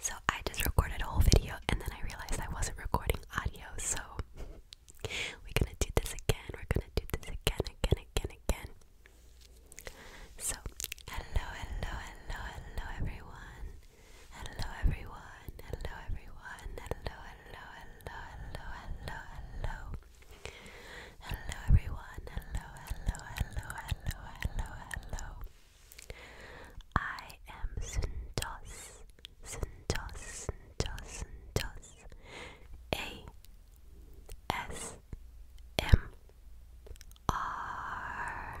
So I just recorded a whole video and then I realized I wasn't recording audio, so we're gonna do this again, we're gonna do this again, again, again, again. So hello, hello, hello, hello everyone Hello everyone, hello everyone, hello, hello, hello, hello, hello, hello. Hello everyone, hello, hello, hello, hello, hello, hello. I am Sundos, Sundos, Sundos, Sundos. A S M R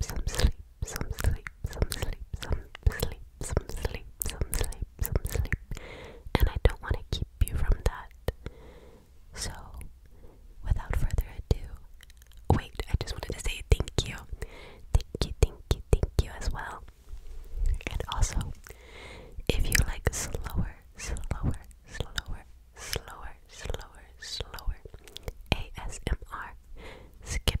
some sleep, some sleep, some sleep, some sleep, some sleep, some sleep, some sleep. And I don't want to keep you from that. So, without further ado, wait, I just wanted to say thank you. Thank you, thank you, thank you as well. And also, if you like slower, slower, slower, slower, slower, slower ASMR, skip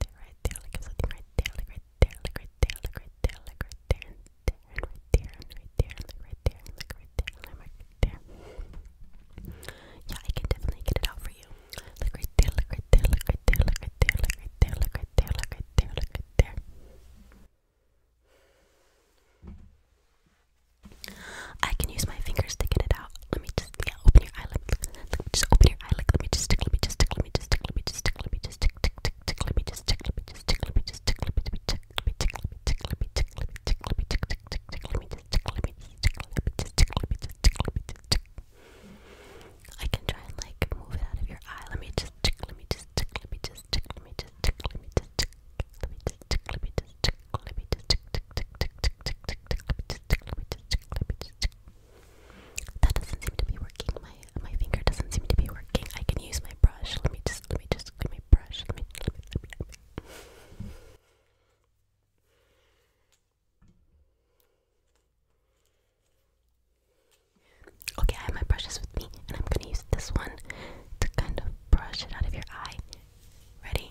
there, right there, like right there, like right there, like right there, like right there, like right there, and right there, and right there, like right there, like right there, like right there. Yeah, I can definitely get it out for you. Like right there, like right there, like right there, like right there, like right there, like right there, like right there, like right there. I can use my fingers to get it out. Let me just yeah, open your eye. Just open your eye. Like, let me just tickle. Let me just tickle. Let me just tickle. Let me just tickle. Let me just tick, tick, tick, tick. Let me just tickle. Let me just tickle. Let me just tickle. Let me tickle. Let me tickle. Let me tickle. Let me tickle. Let me tickle. Let me tick, tick, tick, tick. Let me just tickle. Let me just tickle. Let me just tickle. Let me just tickle. Let me just tick. I can try and like move it out of your eye. Let me just tick. Let me just tick. Let me just tick. Let me just tick. Let me just tick. Let me just tick. Let me just tick. Let me just tick, tick, tick, tick, tick, tick, tick. Let me just tick. Let me just tick. Let me just tick. That doesn't seem to be working. My my finger doesn't seem to be working. I can use my brush. Let me just let me just let brush. Let me let Okay, I have my brushes with me, and I'm gonna use this one to kind of brush it out of your eye. Ready?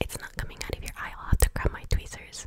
It's not coming out of your eye. I'll have to grab my tweezers.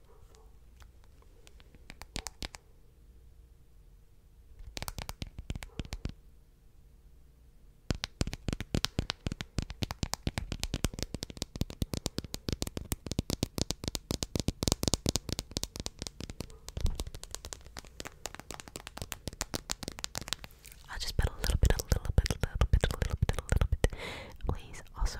I'll just put a little bit, a little bit, a little bit, a little bit, a little bit. Please also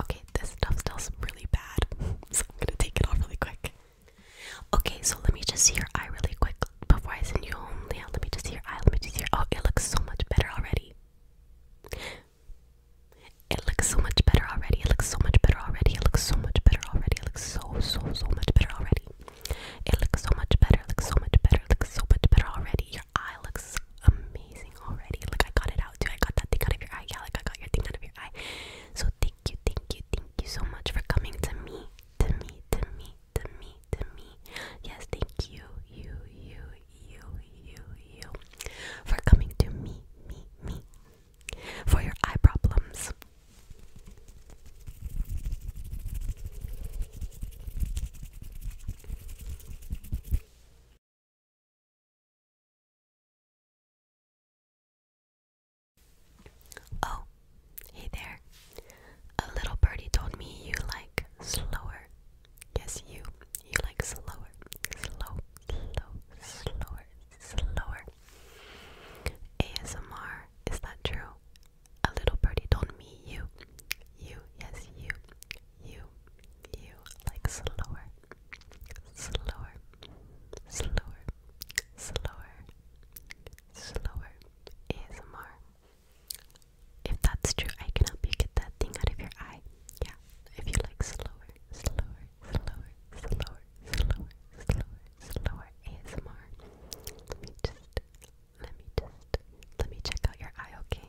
Okay, this stuff smells really bad, so I'm gonna take it off really quick. Okay, so let me just see your eye really quick before I send you home. Yeah, let me just see your eye. Let me just see your. Oh, it looks so much better already. It looks so much better already. It looks so much better already. It looks so much better already. It looks so so so much better already. It looks so much better. looks so much better. looks so much better already. Your eye looks amazing already. Like I got it out too. I got that thing out of your eye. Yeah, like I got your thing out of your eye. So thank you, thank you, thank you so much for coming to me, to me, to me, to me, to me. Yes, thank you, you, you, you, you, you, for coming to me, me, me, for your eye problems. Oh, hey there. A little birdie told me you like slower. Yes, you. You like slower. Slow, slow, slower, slower. ASMR, is that true? A little birdie told me you. You, yes, you. You, you like slower. Slower slower, slower, slower ASMR. If that's true, I can help you get that thing out of your eye. Yeah, if you like slower, slower, slower, slower, slower, slower, slower ASMR. Let me just, let me just, let me check out your eye, okay?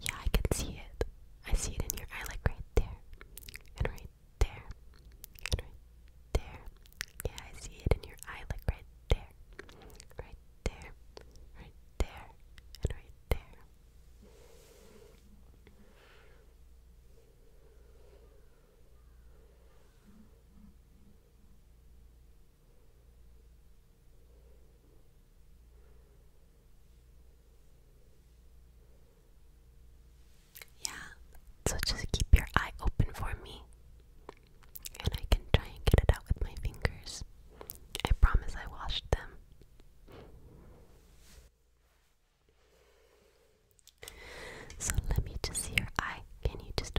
yeah, I can see it. I see it in your eye, like right there, and right there, and right there. Yeah, I see it in your eye, like right there, right there, right there, and right there. Yeah, so just keep your eye open for me, and I can try and get it out with my fingers. I promise I washed them. So let me just see your eye. Can you just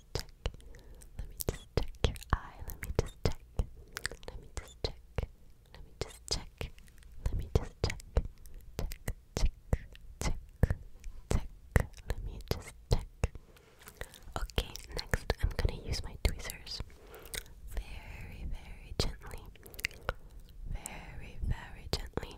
just check. Let me just check your eye. Let me just check. Let me just check. Let me just check. Let me just check. Check, check, check, check. Let me just check. Okay, next I'm gonna use my tweezers very, very gently. Very, very gently.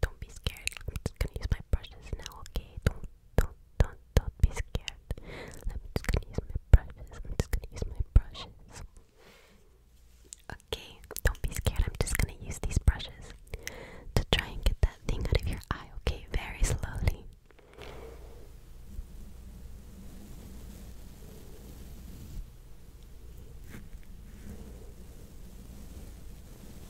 Don't be scared. I'm just gonna use my brushes now, okay? Don't, don't, don't, don't be scared. I'm just gonna use my brushes. I'm just gonna use my brushes. Okay, don't be scared. I'm just gonna use these brushes to try and get that thing out of your eye, okay? Very slowly.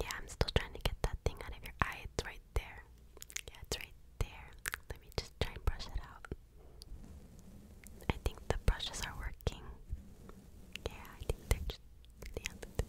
Yeah, I'm still trying to get that thing out of your eye. It's right there. Yeah, it's right there. Let me just try and brush it out. I think the brushes are working. Yeah, I think they're just the altitude.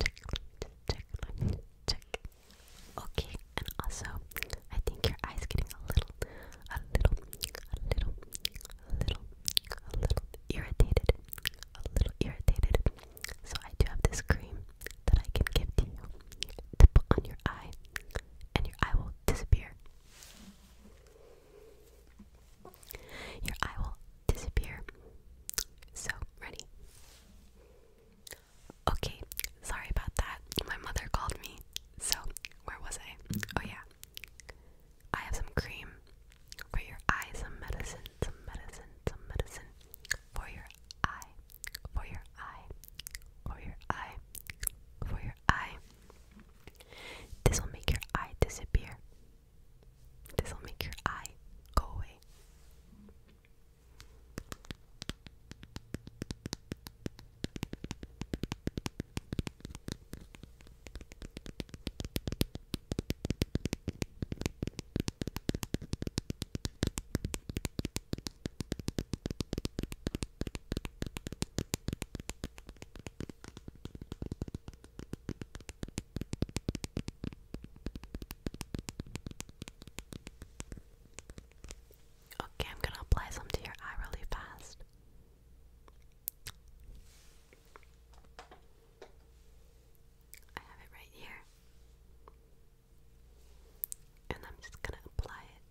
check, check, check. Okay, and also I think your eyes getting a little, a little, a little, a little, a little irritated, a little irritated. So I do have this cream that I can give to you to put on your eye, and your eye will disappear. Your eye will disappear. So, ready? Okay, sorry about that. My mother called me. So, where was I? Oh, yeah. I have some cream for your eye, some medicine, some medicine, some medicine for your eye, for your eye, for your eye, for your eye. This will make your eye disappear. This'll make your eye go away. Okay, I'm gonna apply some to your eye really fast. I have it right here. And I'm just going to apply it.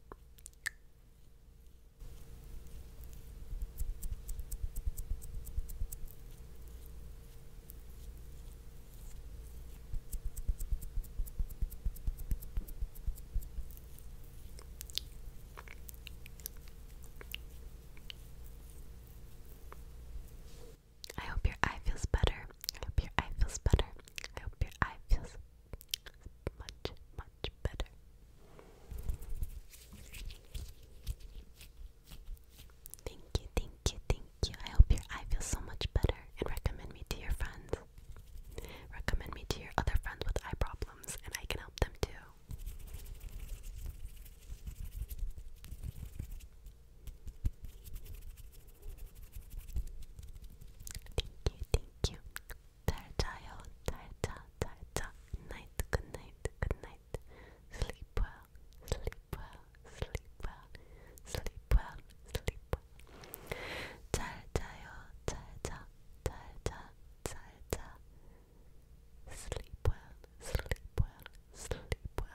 I hope your eye feels better. I hope your eye feels better. I hope your eye feels much, much better. Thank you, thank you, thank you. I hope your eye feels so much better and recommend me to your friends. Recommend me to your other friends with eye problems and I can help them too. Thank you, thank you. Tartayo, tarta, tarta. Night, good night, good night night. Sleep well, sleep well, sleep well, sleep well, sleep well. 잘 자요, 잘 자, 잘 자, 잘 자. Sleep well, sleep well, sleep well.